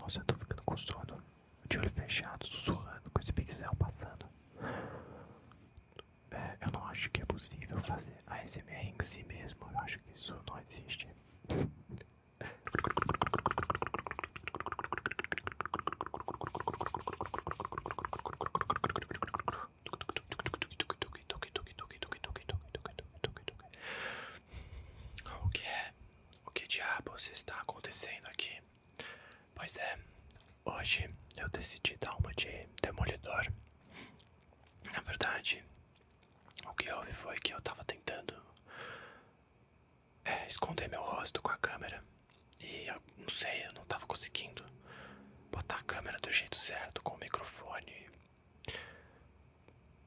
Nossa, eu tô ficando com sono. De olho fechado, sussurrando com esse pixel passando. É, eu não acho que é possível fazer ASMR em si mesmo. Eu acho que isso não existe. O que é? O que diabos está acontecendo aqui? Pois é, hoje eu decidi dar uma de demolidor. Na verdade, o que houve foi que eu estava tentando é, esconder meu rosto com a câmera. E eu não sei, eu não estava conseguindo botar a câmera do jeito certo, com o microfone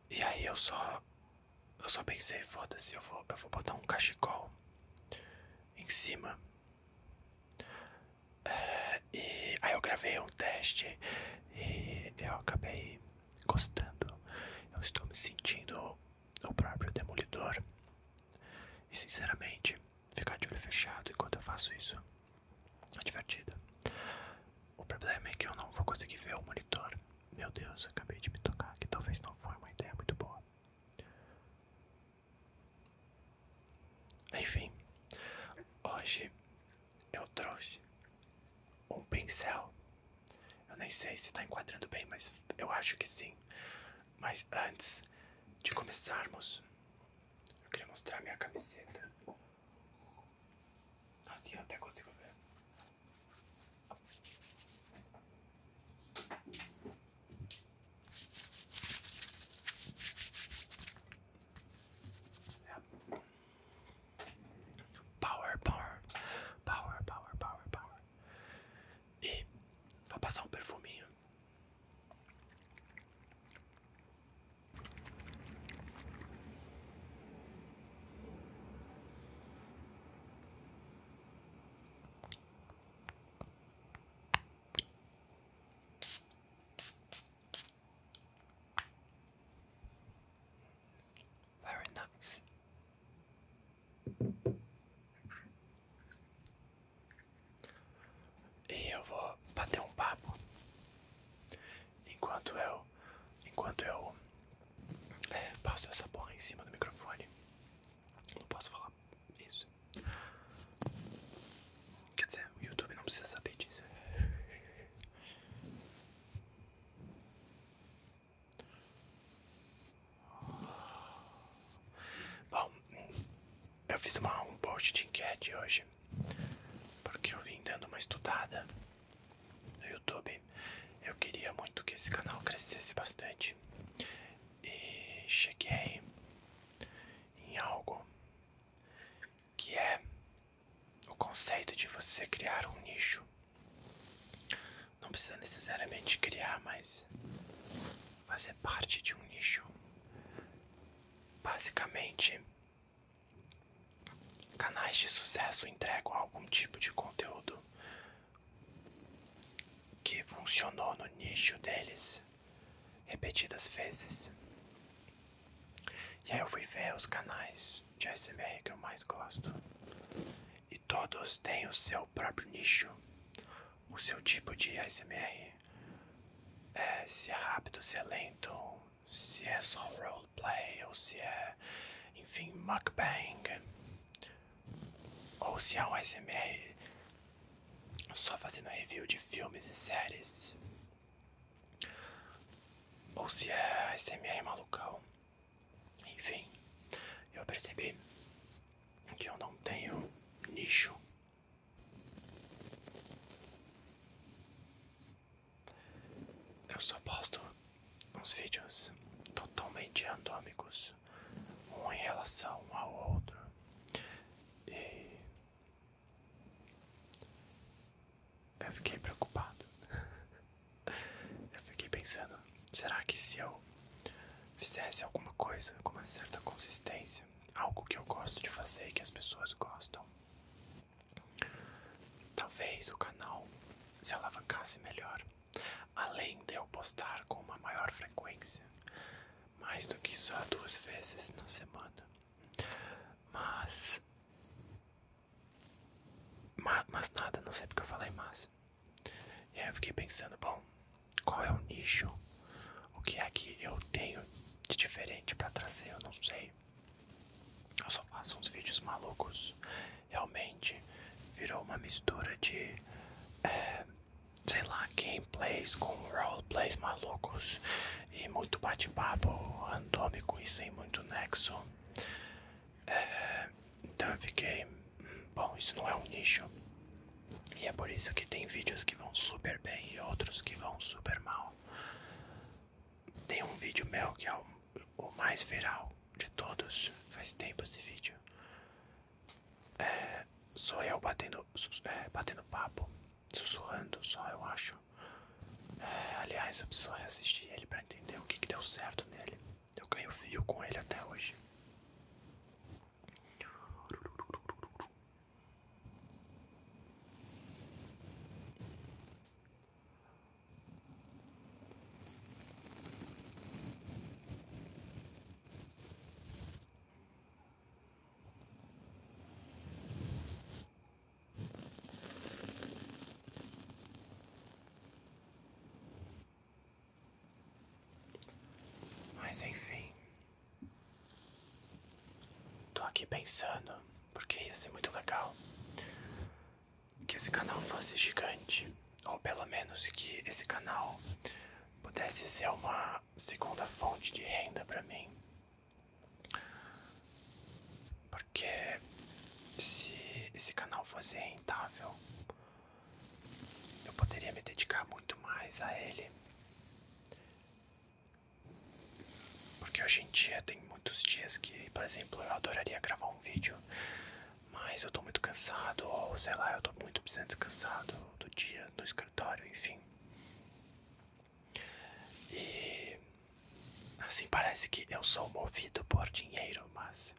e aí eu só eu só pensei, foda-se, eu vou, eu vou botar um cachecol em cima. É, e aí eu gravei um teste e eu acabei gostando. Eu estou me sentindo o próprio demolidor. E sinceramente, ficar de olho fechado enquanto eu faço isso é divertido. O problema é que eu não vou conseguir ver o monitor. Meu Deus, acabei de me tocar que talvez não foi uma ideia muito boa. Enfim, hoje eu trouxe um pincel. Eu nem sei se está enquadrando bem, mas eu acho que sim. Mas antes de começarmos, eu queria mostrar minha camiseta. Assim até consigo ver. Power, power, power, power, power, power. E vou passar um perfuminho. Very nice. E eu vou bater um papo enquanto eu, enquanto eu é, passo essa porra em cima do microfone. Não posso falar isso. Quer dizer, o YouTube não precisa saber disso. Bom, eu fiz uma, um post de enquete hoje porque eu vim dando uma estudada no YouTube. Eu queria muito que esse canal crescesse bastante e cheguei em algo que é o conceito de você criar um nicho. Não precisa necessariamente criar, mas fazer parte de um nicho. Basicamente, Canais de sucesso entregam algum tipo de conteúdo que funcionou no nicho deles repetidas vezes. E aí eu fui ver os canais de ASMR que eu mais gosto. E todos têm o seu próprio nicho, o seu tipo de ASMR. É, se é rápido, se é lento, se é só roleplay, ou se é, enfim, mukbang, ou se é um ASMR só fazendo review de filmes e séries, ou se é ASMR malucão, enfim, eu percebi que eu não tenho nicho eu só posto uns vídeos totalmente anômicos um em relação ao outro. E eu fiquei preocupado. eu fiquei pensando, será que se eu fizesse alguma coisa com uma certa consistência algo que eu gosto de fazer e que as pessoas gostam. Talvez o canal se alavancasse melhor, além de eu postar com uma maior frequência, mais do que só duas vezes na semana. Mas. Mas, nada, não sei porque eu falei mas. E eu fiquei pensando, bom, qual é o nicho o que é que eu tenho de diferente para trazer? Eu não sei. Eu só faço uns vídeos malucos. Realmente virou uma mistura de, é, sei lá, gameplays com roleplays malucos e muito bate-papo randômico e sem muito nexo. É, então eu fiquei, hum, bom, isso não é um nicho. E é por isso que tem vídeos que vão super bem e outros que vão super mal. Tem um vídeo meu que é o, mais viral de todos. Faz tempo esse vídeo. É, sou eu batendo, é, batendo papo, sussurrando só, eu acho. É, aliás, eu preciso assistir ele para entender o que, que deu certo nele. Eu ganho fio com ele até hoje. Mas enfim, Tô aqui pensando, porque ia ser muito legal que esse canal fosse gigante, ou pelo menos que esse canal pudesse ser uma segunda fonte de renda para mim. Porque se esse canal fosse rentável, eu poderia me dedicar muito mais a ele. Porque hoje em dia tem muitos dias que, por exemplo, eu adoraria gravar um vídeo, mas eu estou muito cansado, ou sei lá, eu estou muito precisando descansar do, dia, no escritório, enfim. E assim parece que eu sou movido por dinheiro, mas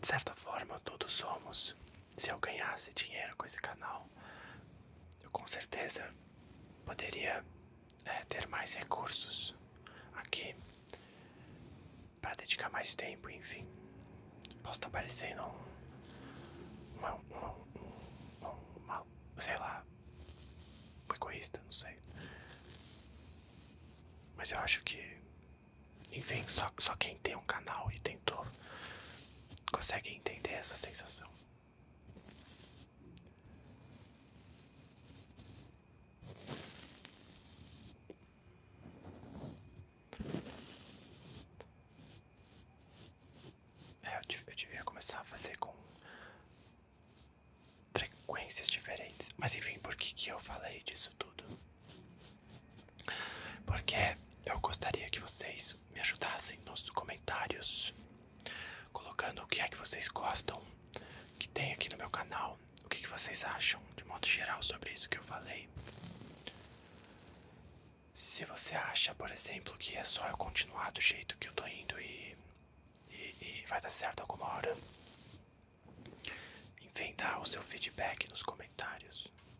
de certa forma todos somos se eu ganhasse dinheiro com esse canal, eu com certeza poderia é, ter mais recursos aqui para dedicar mais tempo, enfim. Posso estar tá parecendo um, um, uma, sei lá, egoísta, não sei. Mas eu acho que enfim, só, só quem tem um canal e tentou consegue entender essa sensação. É, eu, eu devia começar a fazer com frequências diferentes. Mas enfim, por que, que eu falei disso tudo? Porque eu gostaria que vocês me ajudassem nos comentários, colocando o que é que vocês gostam que tem aqui no meu canal, o que, que vocês acham de modo geral sobre isso que eu falei. Se você acha, por exemplo, que é só eu continuar do jeito que eu tô indo e vai dar certo alguma hora, enfim, dá o seu feedback nos comentários.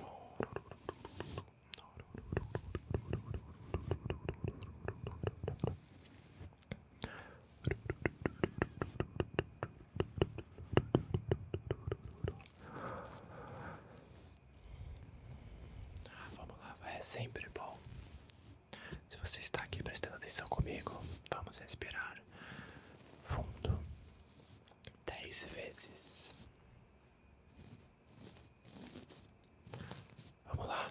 Ah, vamos lá, vai. é sempre bom. Se você está aqui prestando atenção comigo, vamos respirar fundo dez vezes. Vamos lá.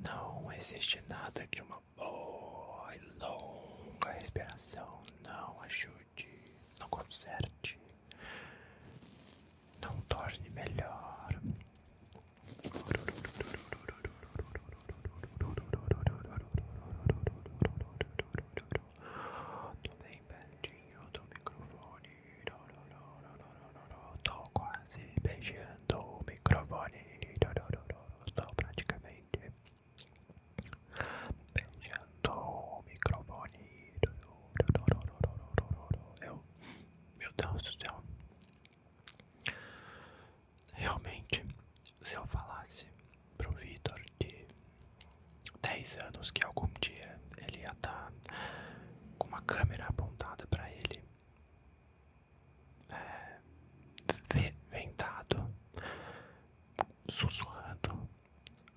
Não existe nada que uma boa e longa respiração não ajude não conserte, não torne melhor. Tô bem pertinho do microfone. Tô quase beijando o microfone. Tô praticamente beijando o microfone. meu Deus do céu, realmente, se eu falasse pro Vitor de 10 anos que algum dia ele ia estar tá com uma câmera apontada para ele, é, vendado, sussurrando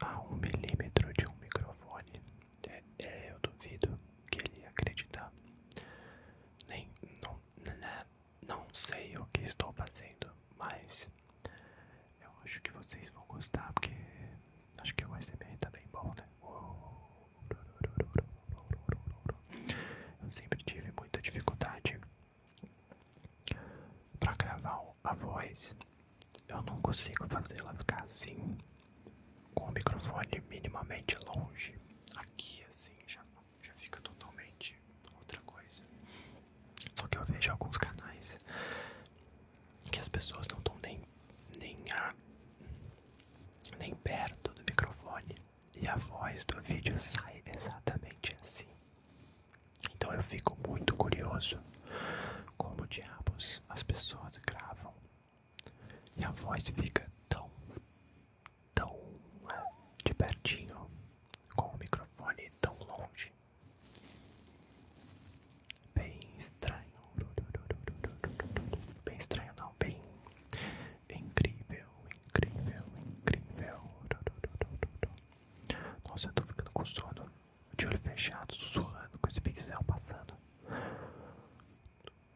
a um milímetro de um microfone. É, eu duvido que ele ia Nem, não, não sei o que estou fazendo, mas eu acho que vocês vão gostar, porque acho que o ASMR tá bem bom, né? Eu sempre tive muita dificuldade para gravar a voz, eu não consigo fazê-la ficar assim, com o microfone minimamente longe. Aqui, assim, já, já fica totalmente outra coisa. Só que eu vejo alguns canais que as pessoas não estão nem, nem, nem perto do microfone e a voz do vídeo sai exatamente assim. Então eu fico muito curioso como diabos as pessoas gravam e a voz fica tão, tão é, de pertinho com o microfone tão longe. Bem estranho. Bem estranho não, bem incrível, incrível, incrível. Nossa, eu tô ficando com sono. De olho fechado, sussurrando com esse pixel passando.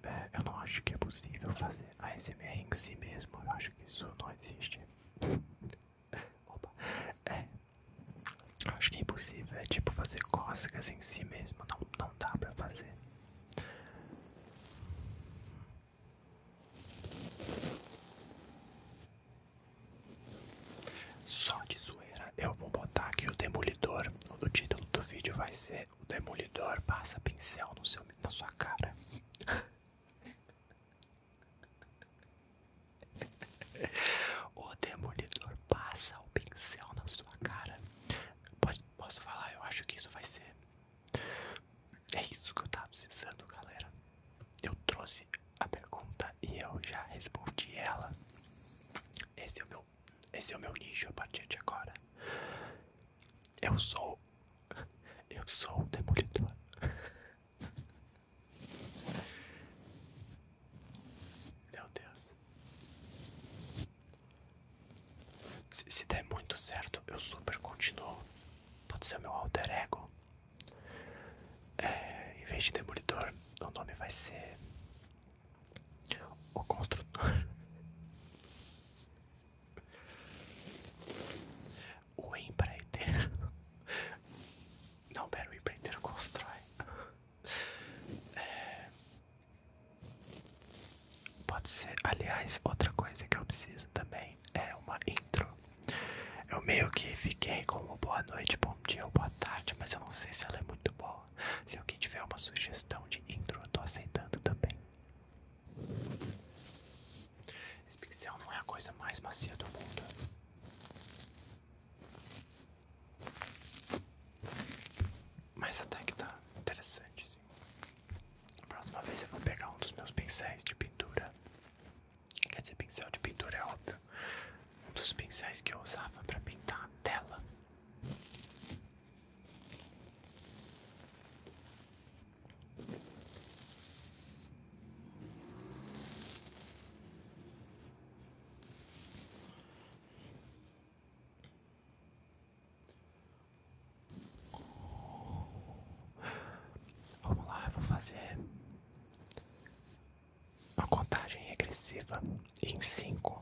É, eu não acho que é possível fazer a ASMR em si mesmo. Eu acho que isso não existe. Opa. É. Eu acho que é impossível. É tipo fazer cócegas em si mesmo. Não, não dá pra fazer. Só de zoeira, eu vou botar aqui o demolidor. O título do vídeo vai ser O Demolidor passa pincel no seu, na sua cara. o demolidor passa o pincel na sua cara. Pode, posso falar? Eu acho que isso vai ser é isso que eu tava pensando, galera. Eu trouxe a pergunta e eu já respondi ela. Esse é o meu, esse é o meu nicho a partir de agora. Eu sou, eu sou o demolidor. Meu Deus. Se, se der muito certo, eu super continuo. Pode ser meu alter ego. É, em vez de Demolidor, o nome vai ser O Construtor. O empreiteiro. Não, pera, o empreiteiro constrói. É. pode ser, aliás, outra coisa que eu preciso também é uma intro. Eu meio que fiquei como boa noite, bom dia ou boa tarde, mas eu não sei se ela é muito boa. Se alguém tiver uma sugestão de intro, eu tô aceitando também. Esse pixel não é a coisa mais macia do mundo. Mas até que tá interessante, sim. Próxima vez eu vou pegar um dos meus pincéis de pintura. Quer dizer, pincel de pintura é óbvio. Um dos pincéis que eu usava para pintar a tela. Vamos lá, eu vou fazer uma contagem regressiva. em 5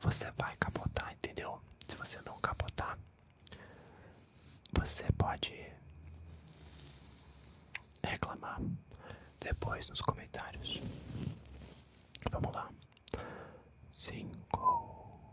você vai capotar, entendeu? Se você não capotar, você pode reclamar depois nos comentários. Vamos lá. 5